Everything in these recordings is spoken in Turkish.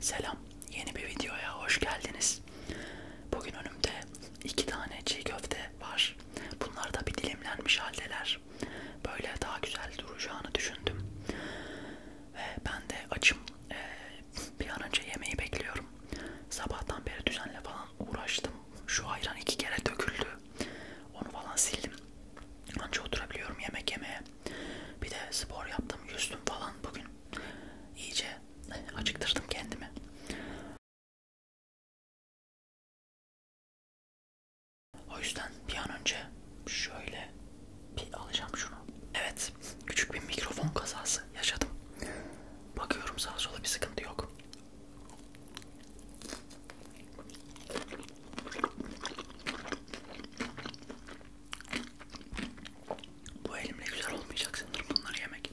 Selam, yeni bir videoya hoş geldiniz. Bugün önümde iki tane çiğ köfte var. Bunlar da bir dilimlenmiş haldeler. Böyle daha güzel duracağını düşündüm. Ve ben de açım. Ee, bir an önce yemeği bekliyorum. Sabahtan beri düzenle falan uğraştım. Şu ayran iki kere döküldü. Onu falan sildim. Anca oturabiliyorum yemek yemeye. Bir de spor yaptım, yüzdüm falan bugün. İyice acıktırdım kendimi. O yüzden bir an önce şöyle bir alacağım şunu. Evet, küçük bir mikrofon kazası yaşadım. Bakıyorum sağa sola bir sıkıntı yok. Bu elimle güzel olmayacak sanırım bunları yemek.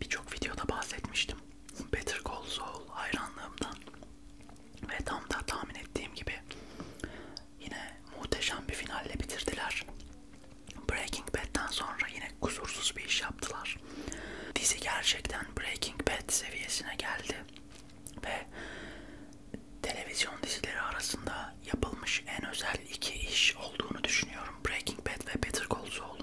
birçok videoda bahsetmiştim Better Call Saul hayranlığımdan ve tam da tahmin ettiğim gibi yine muhteşem bir finalle bitirdiler. Breaking Bad'den sonra yine kusursuz bir iş yaptılar. Dizi gerçekten Breaking Bad seviyesine geldi ve televizyon dizileri arasında yılında yapılmış en özel iki iş olduğunu düşünüyorum. Breaking Bad ve Better Call Saul'un.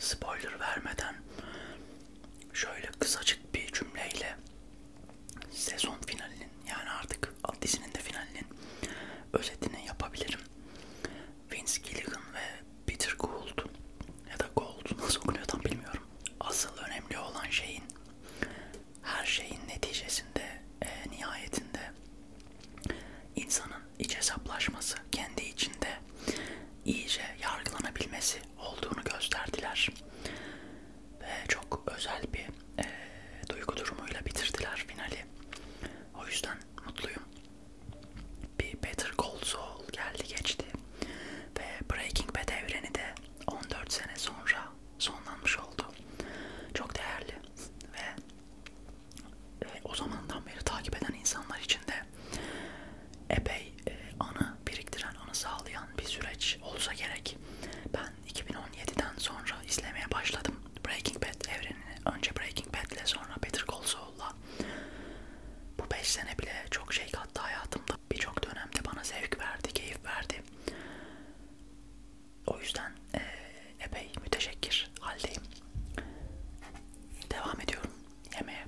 Spoiler vermeden şöyle kısacık bir cümleyle sezon finalinin yani artık dizinin de finalinin özetini yapabilirim. Vince Gilligan ve Peter Gould ya da Gould nasıl okunuyor tam bilmiyorum. Asıl önemli olan şeyin her şeyin neticesinde e, nihayetinde insanın iç hesaplaşması kendi içinde iyice yargılanabilmesi olduğunu gösterdiler. Ve çok özel bir e, duygu durumuyla bitirdiler finali. O yüzden mutluyum. Bir Better Call Saul geldi geçti ve Breaking Bad evreni de 14 sene sonra sonlanmış oldu. Çok değerli ve e, o zamandan beri takip eden insanlar için de epey e, anı biriktiren, anı sağlayan bir süreç olsa gerek. Ben ben 2017'den sonra izlemeye başladım Breaking Bad evrenini. Önce Breaking Bad'le sonra Better Call Saul'la. Bu 5 sene bile çok şey kattı hayatımda. Birçok dönemde bana zevk verdi, keyif verdi. O yüzden e, epey müteşekkir haldeyim. Devam ediyorum yemeğe.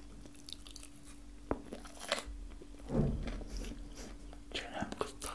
Çenem kıstadı.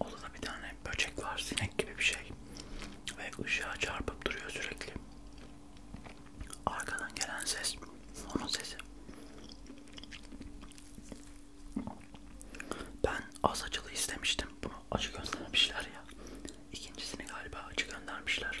Orada bir tane böcek var, sinek gibi bir şey ve ışığa çarpıp duruyor sürekli. Arkadan gelen ses, onun sesi. Ben az acılı istemiştim, bunu acı göndermişler ya. İkincisini galiba acı göndermişler.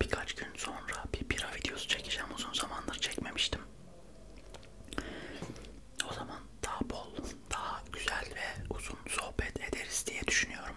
Birkaç gün sonra bir bira videosu çekeceğim. Uzun zamandır çekmemiştim. O zaman daha bol, daha güzel ve uzun sohbet ederiz diye düşünüyorum.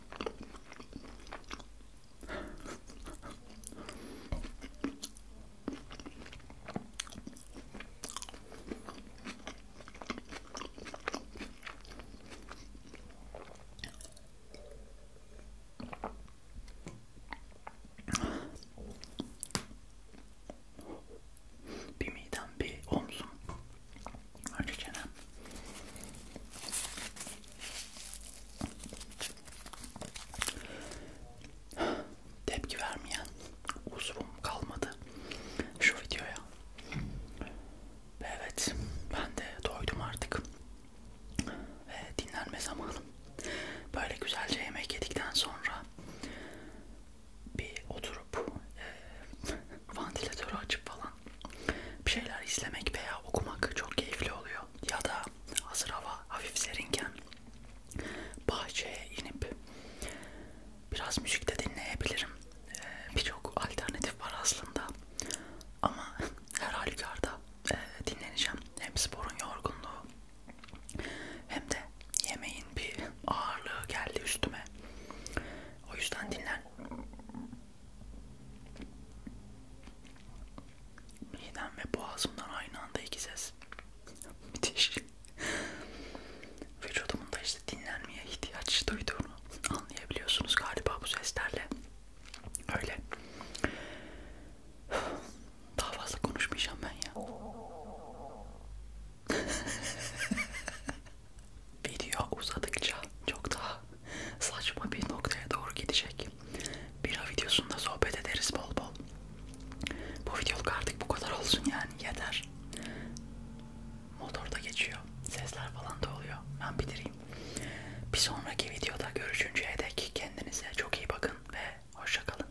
Bir midem bir omzum Hadi canım. Tepki vermeyen uzvum kalmadı şu videoya. Evet, ben de doydum artık. Ve dinlenme zamanım. Böyle güzelce yemek yedikten sonra bir oturup e, vantilatörü açıp falan bir şeyler izlemek veya okumak çok keyifli oluyor. Ya da hazır hava hafif serinken bahçeye inip biraz müzik de dinleyebilirim. E, Birçok alternatif var aslında. Ama her halükarda e, dinleneceğim. Hem sporun yorgunluğu hem de yemeğin bir ağırlığı geldi üstüme. O yüzden dinlen. Midem ve boğazımdan aynı anda iki ses. Müthiş. Vücudumun da işte dinlenmeye ihtiyaç duyduğunu anlayabiliyorsunuz galiba bu seslerle. Öyle. Daha fazla konuşmayacağım ben ya. Video uzadıkça çok daha saçma bir noktaya doğru gidecek. Bira videosunda sohbet ederiz bol bol. Bu videoluk artık bu kadar olsun yani yeter. Motorda geçiyor. Sesler falan da oluyor. Ben bitireyim. Bir sonraki videoda görüşünceye dek kendinize çok iyi bakın ve hoşça kalın.